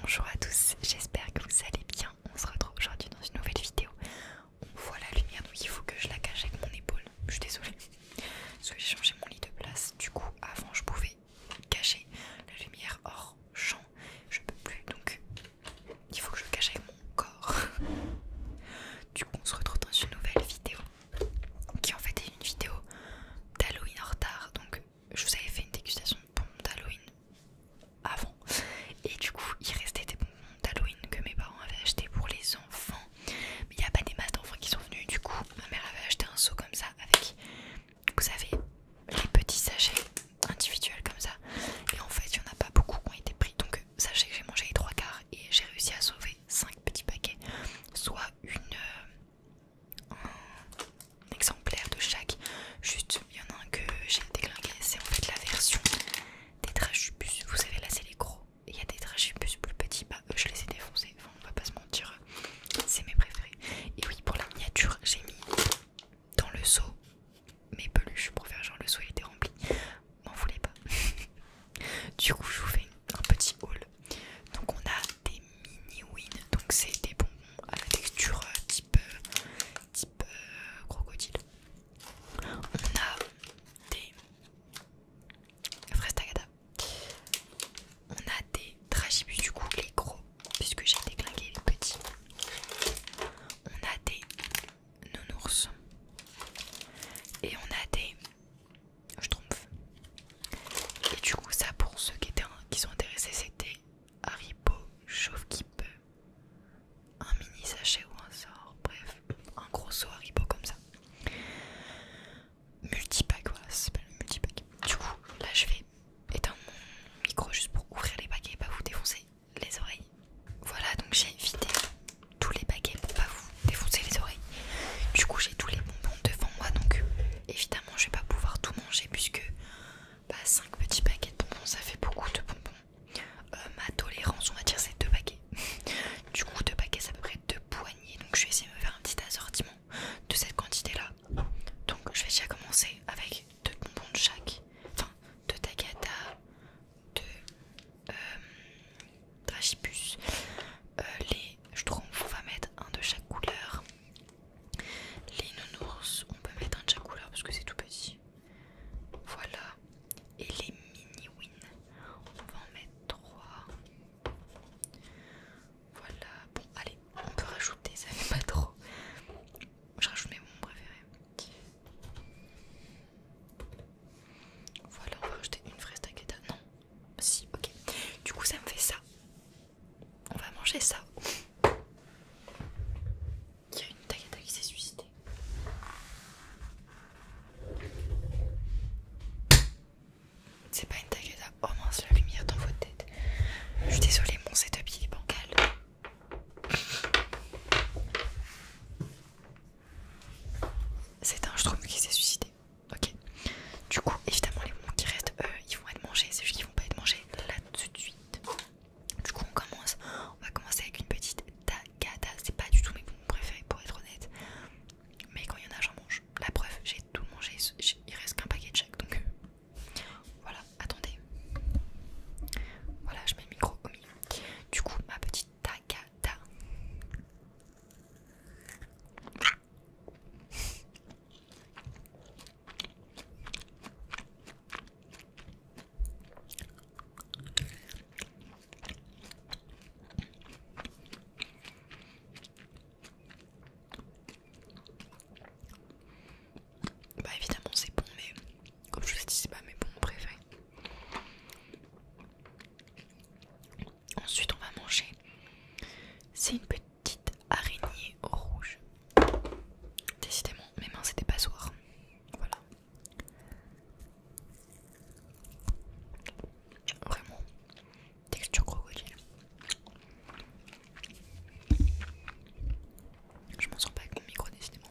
Bonjour à tous, j'espère que vous allez bien. On se retrouve aujourd'hui dans une nouvelle vidéo. On voit la lumière, donc il faut que je la cache avec mon épaule. Je suis désolée, parce que j'ai changé mon lit de place. Du coup, avant, je pouvais cacher la lumière hors champ. Je peux plus, donc il faut que je cache avec mon corps. Du coup, on se retrouve dans une nouvelle vidéo qui en fait est une vidéo d'Halloween en retard. Donc je vous avais fait une dégustation de bonbons d'Halloween avant. Et du coup il restait des bonbons d'Halloween que mes parents avaient acheté pour les enfants. Mais il n'y a pas des masses d'enfants qui sont venus. Du coup ma mère avait acheté un seau comme ça avec, vous savez, les petits sachets individuels comme ça. Et en fait il n'y en a pas beaucoup qui ont été pris. Donc sachez que j'ai mangé les trois quarts et j'ai réussi à sauver 5 petits paquets, soit une, euh, un exemplaire de chaque. Juste, il y en a un que j'ai déglingué, c'est en fait la version des trachubus. Vous savez, là c'est les gros, il y a des trachubus plus petits, bah je les ai défoncés, on on va pas se mentir, c'est mes préférés. Et oui, pour la miniature, j'ai mis dans le seau mes peluches pour faire genre le seau était rempli m'en voulez pas. du coup, je vous fais un petit haul. Donc, on a des mini wins, donc c'est des bonbons à la texture euh, type, euh, type euh, crocodile. On a des fraises On a des tragibus, du coup, les gros, puisque j'ai déclingué les petits. On a des ours Et on a des trompe Et du coup, ça pour ceux qui, étaient, qui sont intéressés, c'était Haribo Chauve qui peut. Un mini sachet ou un sort, bref, un gros seau Haribo comme ça. Multipack, voilà, ça s'appelle multipack. Du coup, là je vais éteindre mon micro juste pour ouvrir les paquets pas vous défoncer les oreilles. Voilà, donc j'ai évité tous les paquets pour pas vous défoncer les oreilles. Du coup, j'ai tous les bonbons devant moi, donc évidemment, je vais pas pouvoir tout manger puisque pas bah, 5 petits paquets de bonbons, ça fait beaucoup de bonbons. Euh, ma tolérance, on va dire, c'est 2 paquets. du coup, 2 paquets, c'est à peu près 2 poignées, donc je vais essayer de me faire un petit assortiment de cette quantité-là. Donc, je vais déjà commencer avec 2 bonbons de chaque, enfin, 2 à de euh, les Euh, les on va mettre un de chaque couleur. Les nounours, on peut mettre un de chaque couleur parce que c'est tout petit. Voilà. Et les mini-win, on va en mettre trois. Voilà. Bon, allez, on peut rajouter, ça fait pas trop. Je rajoute mes préféré préférés. Voilà, on va une fraise taqueta. Non, bah, si, ok. Du coup, ça me fait ça. On va manger ça. Il y a une taqueta qui s'est suicidée. C'est pas une taqueta. Oh mince, la lumière dans votre tête. Je suis désolée, mon setup il est bancal. C'est un trouve qui s'est suicidé. Ok. Du coup, évidemment, les qui restent, eux, ils vont être mangés. Ceux qui ne vont pas être mangés là tout de suite. Du coup, on commence. On va commencer avec une petite Ce C'est pas du tout mes bonbons préférés, pour être honnête. Mais quand il y en a, j'en mange. La preuve, j'ai tout mangé. Il reste qu'un paquet de chaque. Donc, euh, voilà. Attendez. Voilà, je mets le micro au du coup, ma petite tagata. Bah évidemment c'est bon mais comme je vous ai dit c'est pas mes bons préférés. Ensuite on va manger. C'est une petite araignée rouge. Décidément mes mains c'était pas soir. Voilà. Vraiment. Texture crocodile. Je m'en sors pas avec mon micro décidément.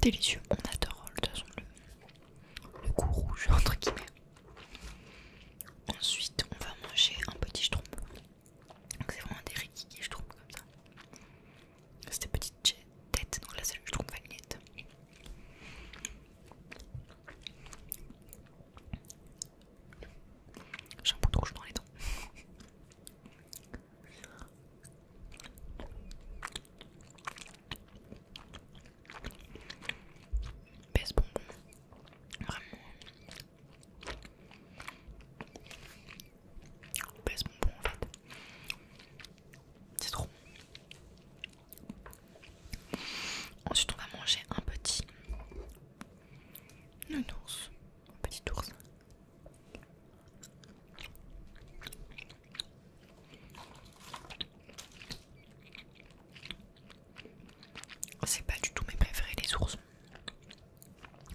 Délicieux, on adore de toute façon le, goût rouge entre guillemets. Ensuite, on va manger un petit schtroumpf. c'est vraiment des riquiqui trouve comme ça. C'était petit. J'ai Tête. Donc là, c'est le trouve J'ai un peu de rouge dans les dents. Baisse bon. Vraiment baisse en fait. C'est trop bon. Ensuite, on va manger un petit. ours. Un petit ours. C'est pas du tout mes préférés, les ours.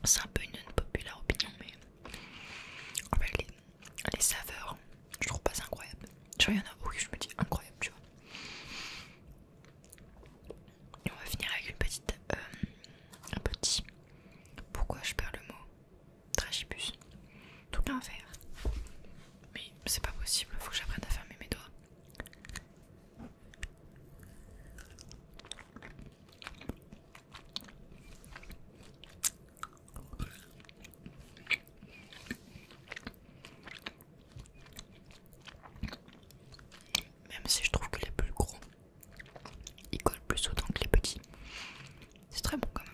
C'est un peu une, populaire opinion, mais les, saveurs, je trouve pas incroyables. incroyable. vois, il y en a beaucoup je me dis incroyable, tu vois. Et on va finir avec une petite. Euh, un petit. Pourquoi je perds le mot trachipus Tout l'inverse. Mais c'est pas possible, faut que j'apprenne à fermer mes doigts. Même si je trouve que les plus gros, ils collent plus autant que les petits. C'est très bon quand même.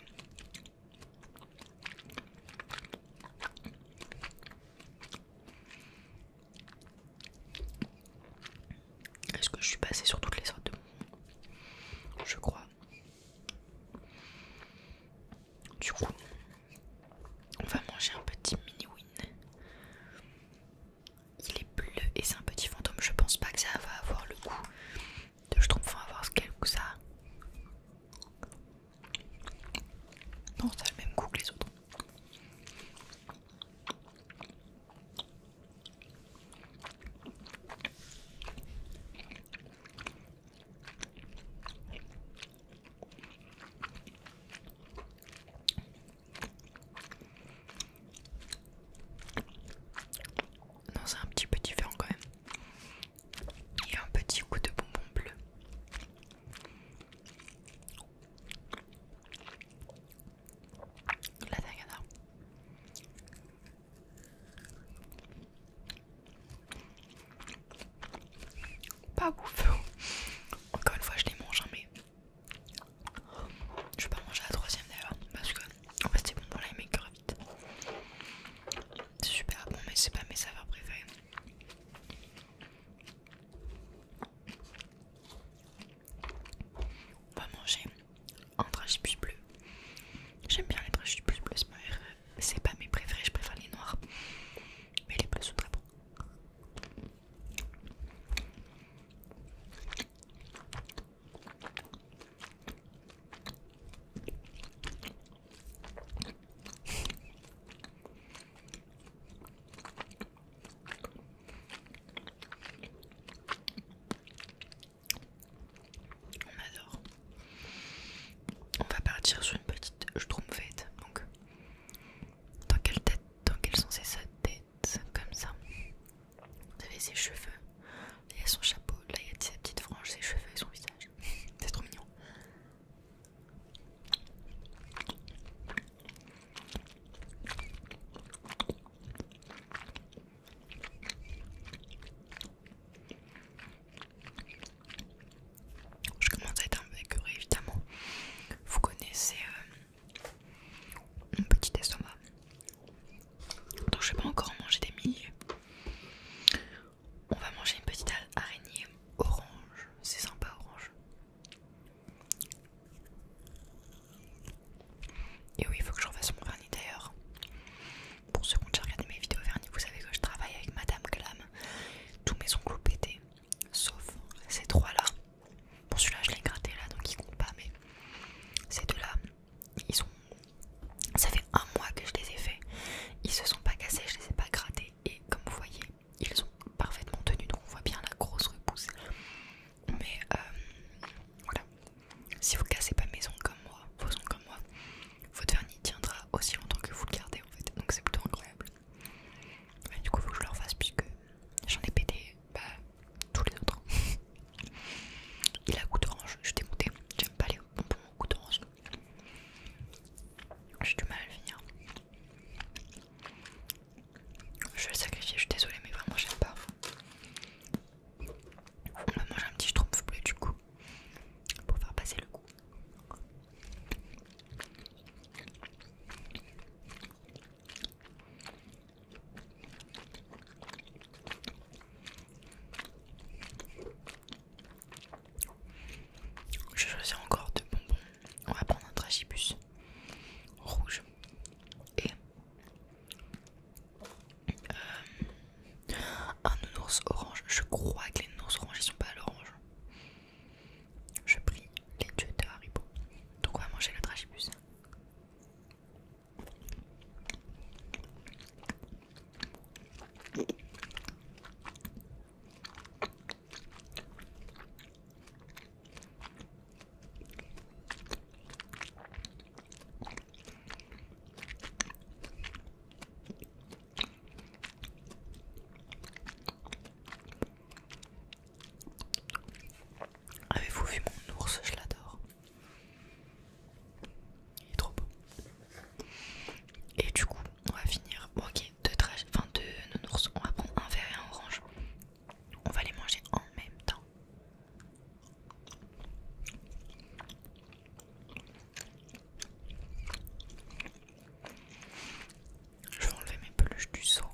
Est-ce que je suis passée sur toutes les sortes de Je crois. Du coup, on va manger un petit mini-win. Il est bleu et c'est un petit fantôme. Je pense pas que ça va avoir le goût de je trompe. Enfin, avoir quel goût ça Non, ça a le même goût que les autres. Non, c'est un petit peu différent quand même. Il y a un petit coup de bonbon bleu. La tagada. Pas ouf. Encore une fois, je les mange, hein, mais je vais pas manger la troisième d'ailleurs parce que c'était c'est bon pour les maigres vite. C'est super bon, mais c'est pas mes saveurs préférées. On va manger un plus bleu. J'aime bien les plus bleus, e. c'est pas mes préférés, je préfère les noirs. Mais les bleus sont très on adore. On va partir sur une petite schtroumpfette. Donc, dans quelle tête, dans quel sens est sa tête Comme ça. Vous avez ses cheveux. Là, il y a son chapeau. Là, il y a sa petite frange, ses cheveux et son visage. C'est trop mignon. Je commence à être un peu écœurée évidemment. Vous connaissez euh, mon petit estomac. Donc je vais pas encore manger des milliers. On va manger une petite araignée orange. C'est sympa orange. Et oui, il faut que je refasse mon vernis d'ailleurs. Pour ceux qui ont regardé mes vidéos vernis, vous savez que je travaille avec Madame Glam. Tous mes ongles ont pété, sauf ces trois-là. Bon, celui-là, je l'ai gratté là, donc il compte pas, mais ces deux-là, ils ont. Ça fait un mois que je les ai fait Ils se sont pas cassés, je les ai pas grattés et comme vous voyez ils sont parfaitement tenu. donc on voit bien la grosse repousse mais euh, voilà si vous cassez pas maison comme moi vos ongles comme moi votre vernis tiendra aussi longtemps que vous le gardez en fait donc c'est plutôt incroyable du coup faut que je le refasse puisque j'en ai pété bah, tous les autres il a goût d'orange je suis monté. j'aime pas les bonbons goût d'orange j'ai du mal à le finir je vais le sacrifier, je suis désolée, mais vraiment j'aime pas. On va manger un petit schtroumpf bleu du coup, pour faire passer le coup. Je choisis encore deux bonbons on va prendre un tragibus rouge et euh, un nounours orange. Je crois que les nounours oranges ils sont pas à l'orange. Je prie les deux de Haribo. Donc on va manger le tragibus. Avez-vous vu mon ours Je l'adore. Il est trop beau. Et du coup, on va finir. ok, deux trash, enfin deux nounours. On va prendre un vert et un orange. On va les manger en même temps. Je vais enlever mes peluches du seau.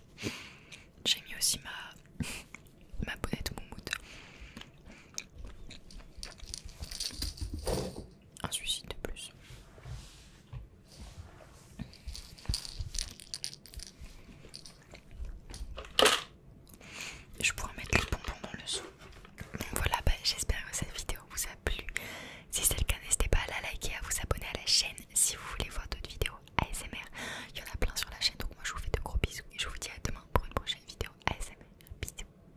J'ai mis aussi ma, ma bonnette moumoute un suicide de plus. Je pourrais mettre les bonbons dans le son. Donc voilà, bah, j'espère que cette vidéo vous a plu. Si c'est le cas, n'hésitez pas à la liker, à vous abonner à la chaîne si vous voulez voir d'autres vidéos ASMR. Il y en a plein sur la chaîne, donc moi je vous fais de gros bisous et je vous dis à demain pour une prochaine vidéo ASMR. Bisous.